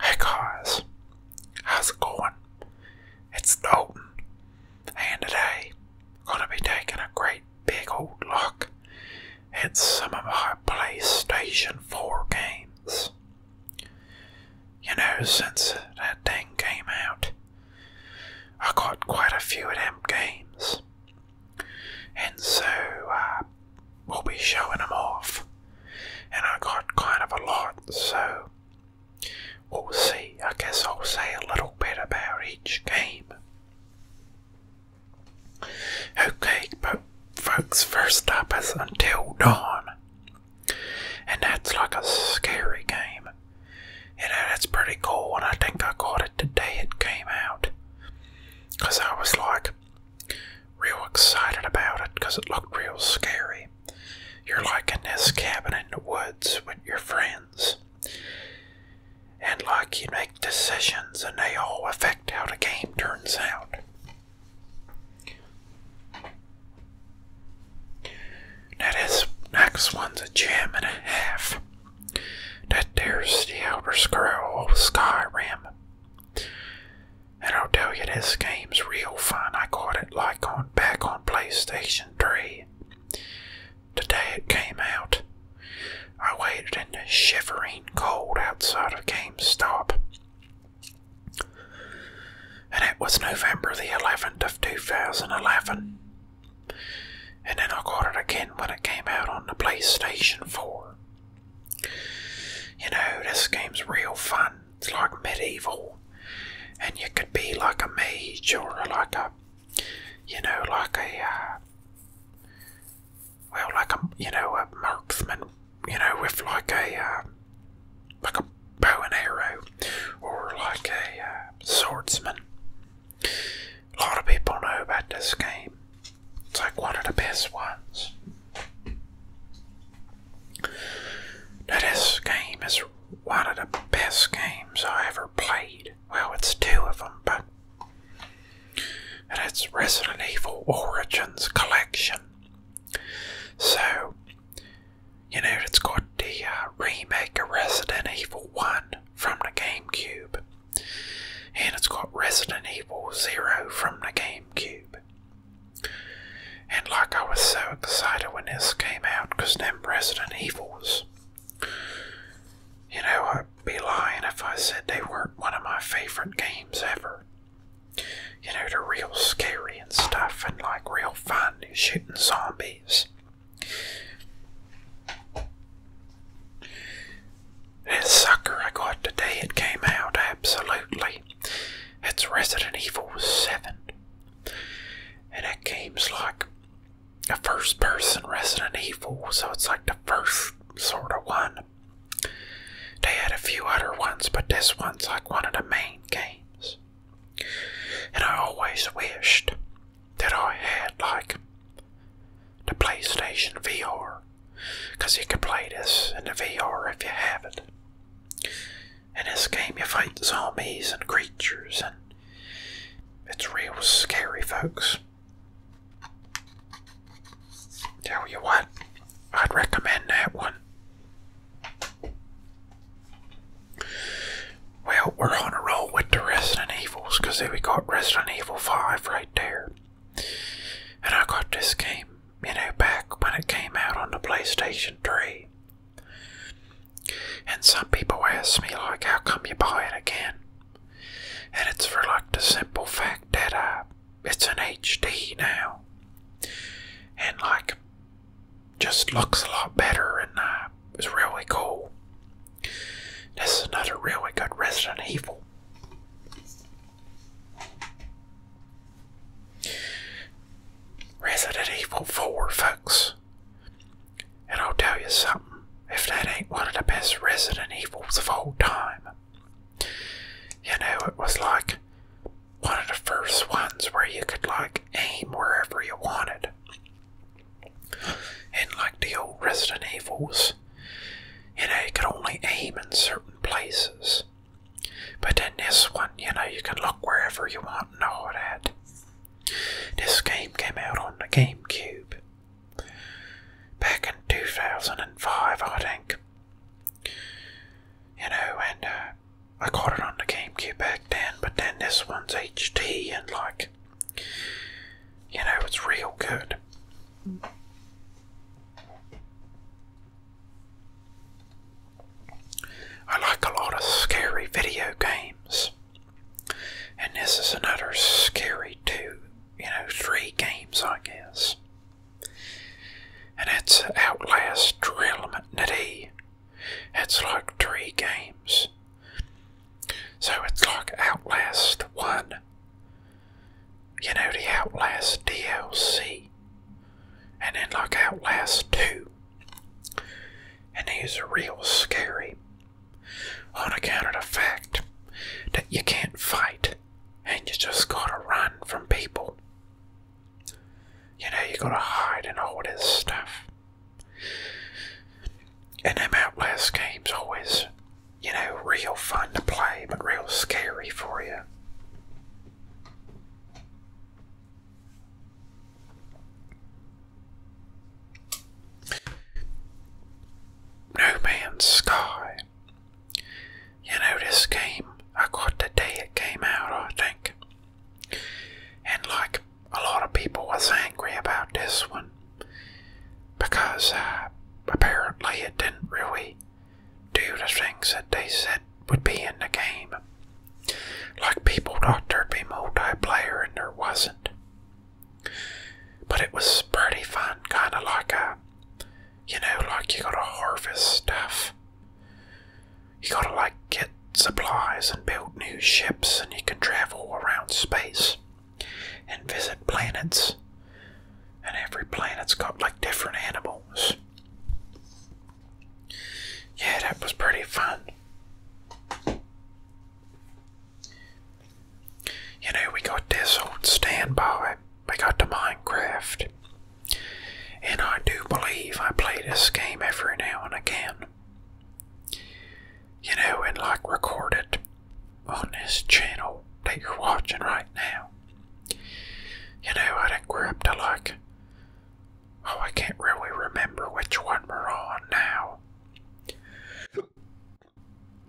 Hey guys, how's it going? It's Dalton, and today I'm gonna be taking a great big old look at some of my PlayStation 4 games. You know, since that thing came out, I got quite a few of them games, and so I uh, we will be showing them off. And I got kind of a lot, so we'll see. I guess I'll say a little bit about each game. Okay, but folks, first up is Until Dawn. And that's like a scary game. You know, that's pretty cool, and I think I caught it the day it came out. Because I was like, real excited about it because it looked real scary. You're like in this cabin in the woods with your friends. And like you make decisions and they all affect how the game turns out. That is, next one's a gem and a half. That there's the outer Scroll of Skyrim. And I'll tell you, this game's real fun. I caught it like on back on PlayStation 3. The day it came out, I waited in the shivering cold outside of GameStop. And it was November the 11th of 2011. And then I got it again when it came out on the PlayStation 4. You know, this game's real fun. It's like medieval. And you could be like a mage or like a, you know, like a, uh, well, like a, you know, a marksman, you know, with like a, uh, like a bow and arrow or like a uh, swordsman. A lot of people know about this game. It's like one of the best ones. Now, this game is one of the best games I ever played. Well, it's two of them, but. it's Resident Evil Origins Collection. So, you know, it's got the uh, remake of Resident Evil 1 from the GameCube. And it's got Resident Evil 0 from the GameCube. And like I was so excited when this came out, because then Resident Evils. You know, I'd be lying if I said they weren't one of my favorite games ever. You know, they're real scary and stuff, and like real fun, shooting zombies. That sucker I got today, it came out absolutely. It's Resident Evil 7. And it game's like a first person Resident Evil, so it's like the first sort of one. They had a few other ones, but this one's like one of the main games. And I always wished that I had like the PlayStation VR because you can play this in the VR if you have it. In this game, you fight zombies and creatures, and it's real scary, folks. Tell you what, I'd recommend that one. Well, we're on a roll with the Resident Evils, because we got Resident Evil 5 right there. And I got this game, you know, back when it came out on the PlayStation 3. And some people ask me, like, how come you buy it again? And it's for, like, the simple fact that uh, it's an HD now. And, like, just looks a lot better and uh, it's really cool. This is another really good Resident Evil. Resident Evil 4, folks. And I'll tell you something, if that ain't one of the best Resident Evils of all time. You know, it was like one of the first ones where you could, like, aim wherever you wanted. And, like, the old Resident Evils, you know, you could only aim in certain places. But in this one, you know, you can look wherever you want and all that. This game came out on the GameCube back in 2005, I think. You know, and uh, I caught it on the GameCube back then, but then this one's HD and like, you know, it's real good. I like a lot of scary video games. And this is another scary two, you know, three games, I guess. And it's Outlast Trilmity. It's like three games. So it's like Outlast 1, you know, the Outlast DLC, and then like Outlast 2. And these real scary on account of the fact that you can't fight and you just gotta run from people. You know, you gotta hide and all this stuff. And them Outlast games always you know, real fun to play, but real scary for you. No Man's Sky. You know, this game, I got the day it came out, I think. And like a lot of people was angry about this one because uh, apparently it didn't really do the things that they said would be in the game. Like people thought there'd be multiplayer and there wasn't. But it was pretty fun, kind of like a, you know, like you gotta harvest stuff. You gotta like get supplies and build new ships and you can travel around space and visit planets and every planet's got like different animals. Yeah, that was pretty fun. You know, we got this old standby. We got the Minecraft. And I do believe I play this game every now and again. You know, and like recorded on this channel that you're watching right now. You know, I think we're to like. Oh, I can't really remember which one we're on now.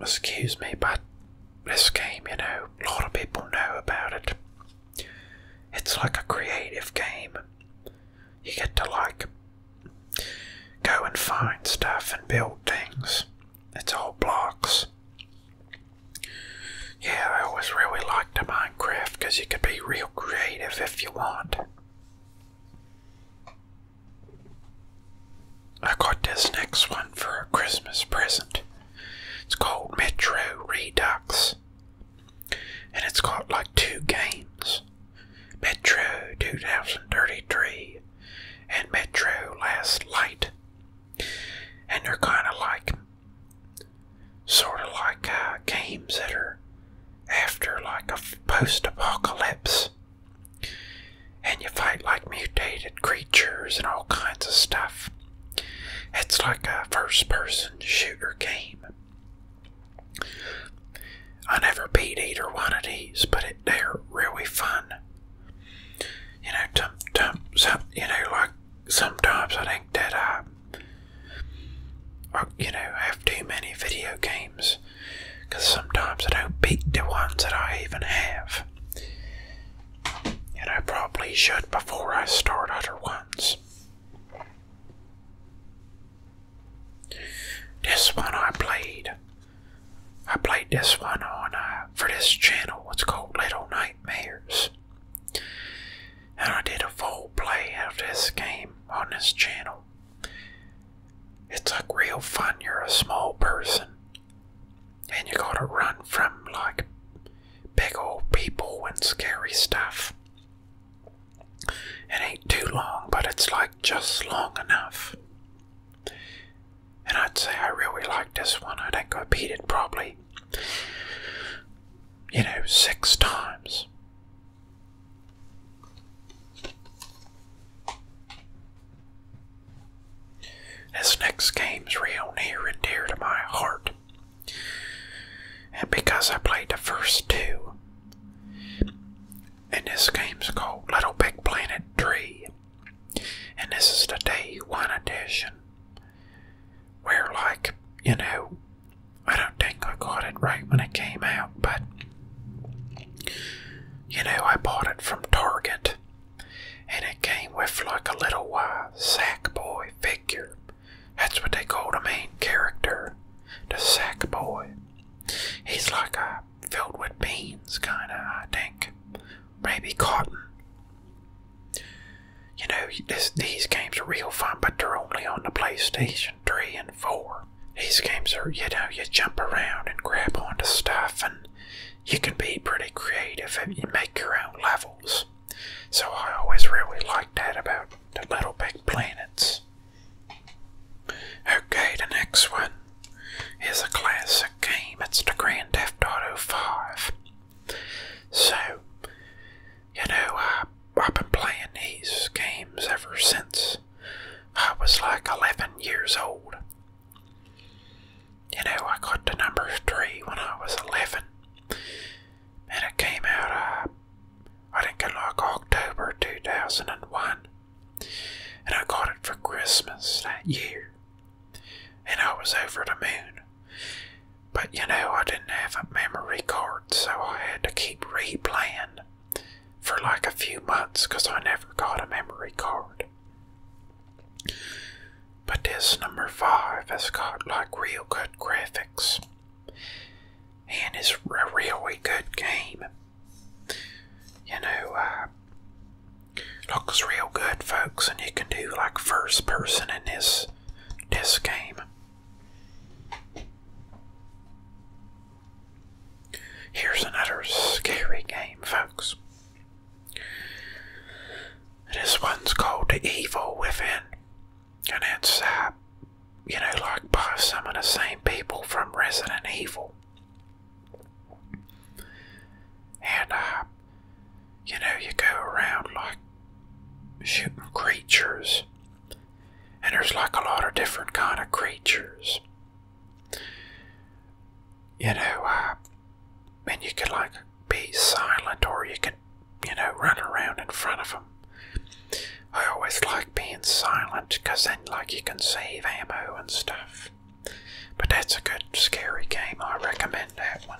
Excuse me, but this game, you know, a lot of people know about it. It's like a creative game. You get to like go and find stuff and build things. It's all blocks. Yeah, I always really liked the Minecraft because you could be real creative if you want. I got this next one for a Christmas present. It's called Metro Redux. And it's got like two games Metro 2033 and Metro Last Light and they're kind of like sort of like uh, games that are after like a post-apocalypse and you fight like mutated creatures and all kinds of stuff it's like a first-person shooter game i never beat either one of these but it, they're really fun you know, tum, tum, some, you know, like sometimes I think that I, I you know, have too many video games because sometimes I don't beat the ones that I even have. And I probably should before I start other ones. This one I played. I played this one on uh, for this channel. It's called Little Night. And I did a full play of this game on this channel. It's like real fun. You're a small person and you gotta run from like big old people and scary stuff. It ain't too long, but it's like just long enough. And I'd say I really like this one. I think I beat it probably, you know, six times. This next game's real near and dear to my heart. And because I played the first two, and this game's called Little Big Planet 3. And this is the day one edition. Where, like, you know, I don't think I got it right when it came out, but you know, I bought it from Target and it came with like a little uh, sack boy figure. That's what they call the main character, the sack boy. He's like a uh, filled with beans, kind of, I think. Maybe cotton. You know, these games are real fun, but they're only on the PlayStation 3 and 4. These games are, you know, you jump around and grab onto stuff, and you can be pretty creative and you make your own levels. So I always really liked that about the Little Big Planets. Okay, the next one is a classic game. It's the Grand Theft Auto 5. So, you know, I, I've been playing these games ever since I was like 11 years old. You know, I got the number 3 when I was 11, and it came out, uh, I think, in like October 2001, and I got it for Christmas that year and I was over the moon. But you know, I didn't have a memory card, so I had to keep replaying for like a few months because I never got a memory card. But this number five has got like real good graphics and it's a really good game. You know, uh, Looks real good, folks, and you can do like first person in this this game. Here's another scary game, folks. This one's called The Evil Within, and it's, uh, you know, like by some of the same people from Resident Evil. And, uh, you know, you go around like shooting creatures, and there's like a lot of different kind of creatures. You know, uh, and you can like be silent, or you can, you know, run around in front of them. I always like being silent, cause then like you can save ammo and stuff. But that's a good scary game. I recommend that one.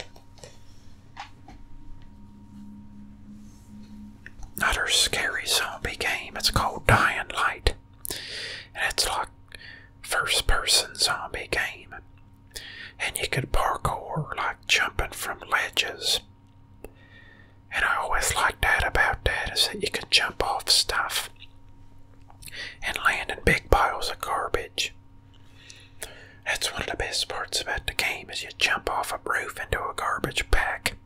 Another scary zombie game. It's called Dying Light. And it's like first person zombie game. And you could parkour like jumping from ledges. And I always like that about that is that you can jump off stuff and land in big piles of garbage. That's one of the best parts about the game is you jump off a roof into a garbage bag.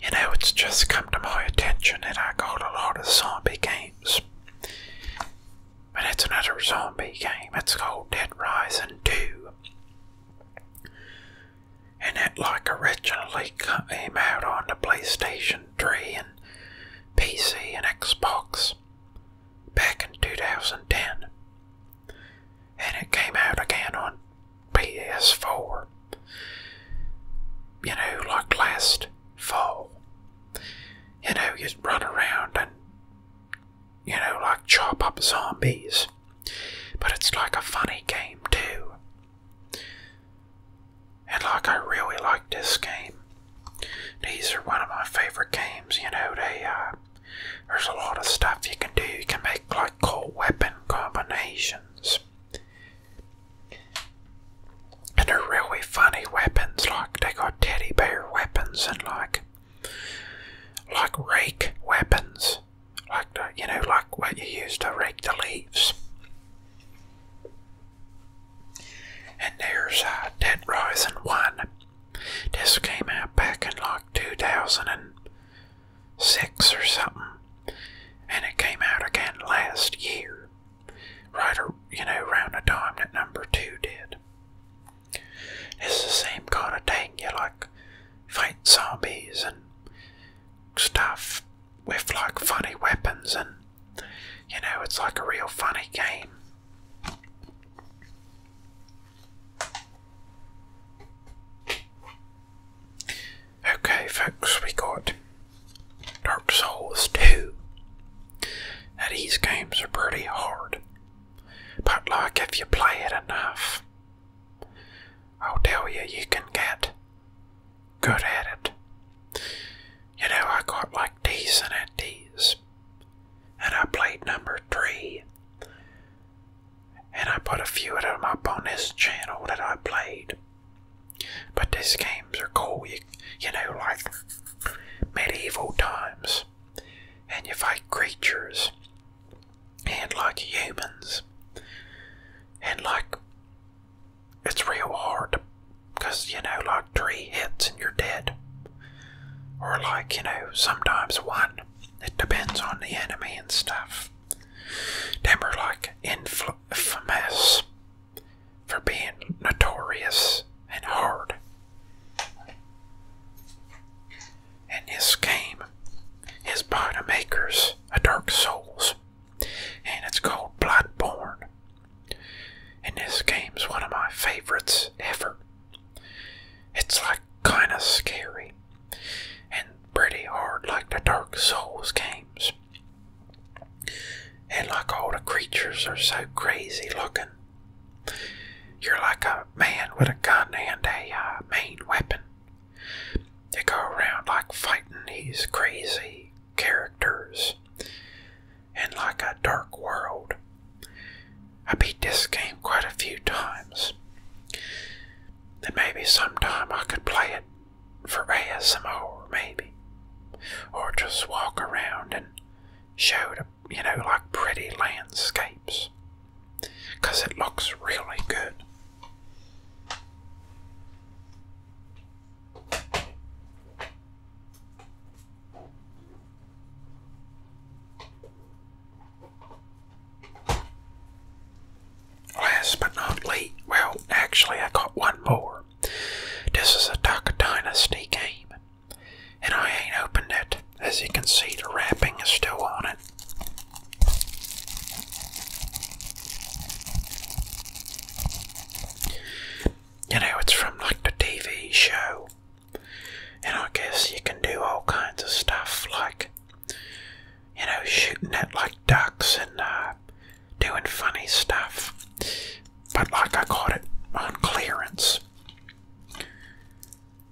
You know, it's just come to my attention that I got a lot of zombie games. But it's another zombie game. It's called Dead Rising 2 and it like originally came out on the PlayStation 3 and PC and Xbox back in 2010. And it came out again on PS4, you know, like last fall. You know, you run around and, you know, like chop up zombies. But it's like a funny game, too. And like, I really like this game. These are one of my favorite games, you know, they, uh, there's a lot of stuff you can do. You can make, like, cool weapon combinations. And they're really funny weapons, like, they got teddy bear weapons and, like, like rake weapons like you know, like what you used to rake the leaves. And there's uh, Dead Rising 1. This came out back in like 2006 or something. And it came out again last year. Right, you know, around the time that number 2 did. It's the same kind of thing. You like fight zombies and stuff with like funny weapons and you know it's like a real funny game. Okay folks, we got Dark Souls 2. these games are pretty hard. But like if you play it enough I'll tell you, you can get good at it. You know, I got like decent at these, and I played number three, and I put a few of them up on this channel that I played. But these games are cool, you, you know, like medieval times, and you fight creatures, and like humans, and like it's real hard because you know, like three hits and you're dead, or like you know, sometimes one. It depends on the enemy and stuff. They were like infamous for being notorious and hard and this game his partner makers of Dark Souls, and it's called Bloodborne. And this game's one of my favorites ever. It's like kind of scary and pretty hard, like the Dark Souls games. And like all the creatures are so crazy looking. You're like a man with a gun and a uh, main weapon they go around like fighting these crazy characters and like a dark world. I beat this game quite a few times. And maybe sometime I could play it for ASMR, maybe. Or just walk around and show, the, you know, like pretty landscapes. Because it looks really good. Last but not least, well, actually, I got one more. This is a Taka Dynasty game, and I ain't opened it. As you can see, the wrapping is still on it. You know, it's from like the TV show, and I guess you can do all kinds of stuff like, you know, shooting at like ducks and uh, doing funny stuff. But like I got it on clearance,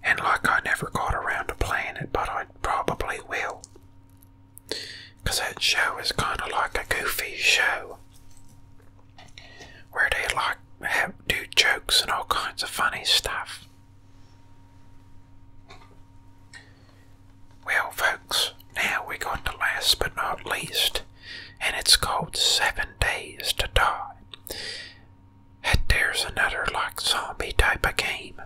and like, I never got around to playing it, but I probably will. 'Cause that show is kind of like a goofy show. Where they like have, do jokes and all kinds of funny stuff. Well, folks, now we got to last but not least, and it's called Seven Days to Die. And there's another like zombie type of game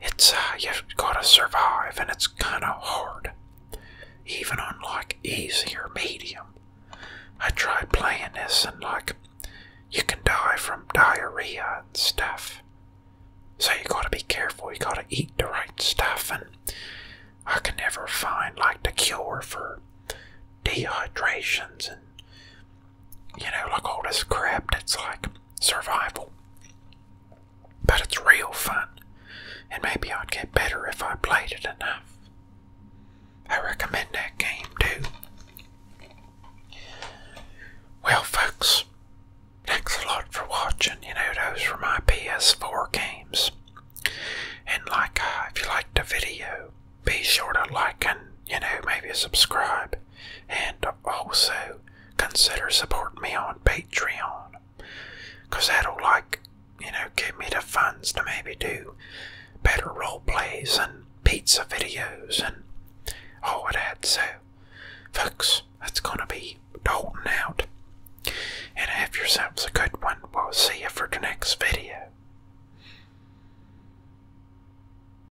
it's uh, you got to survive, and it's kind of hard, even on like easy medium. I tried playing this, and like you can die from diarrhea and stuff. So you gotta be careful, you gotta eat the right stuff, and I can never find like the cure for dehydrations and you know, like all this crap that's like survival. But it's real fun, and maybe I'd get better if I played it enough. I recommend that game too. Well, folks, thanks a lot for watching. You know, those were my PS4 games. And like, uh, if you liked the video, be sure to like and, you know, maybe subscribe. And also consider supporting me on Patreon. Because that'll, like, you know, give me the funds to maybe do better role plays and pizza videos and all of that. So, folks, that's going to be Dalton out. And have yourselves a good one. We'll see you for the next video.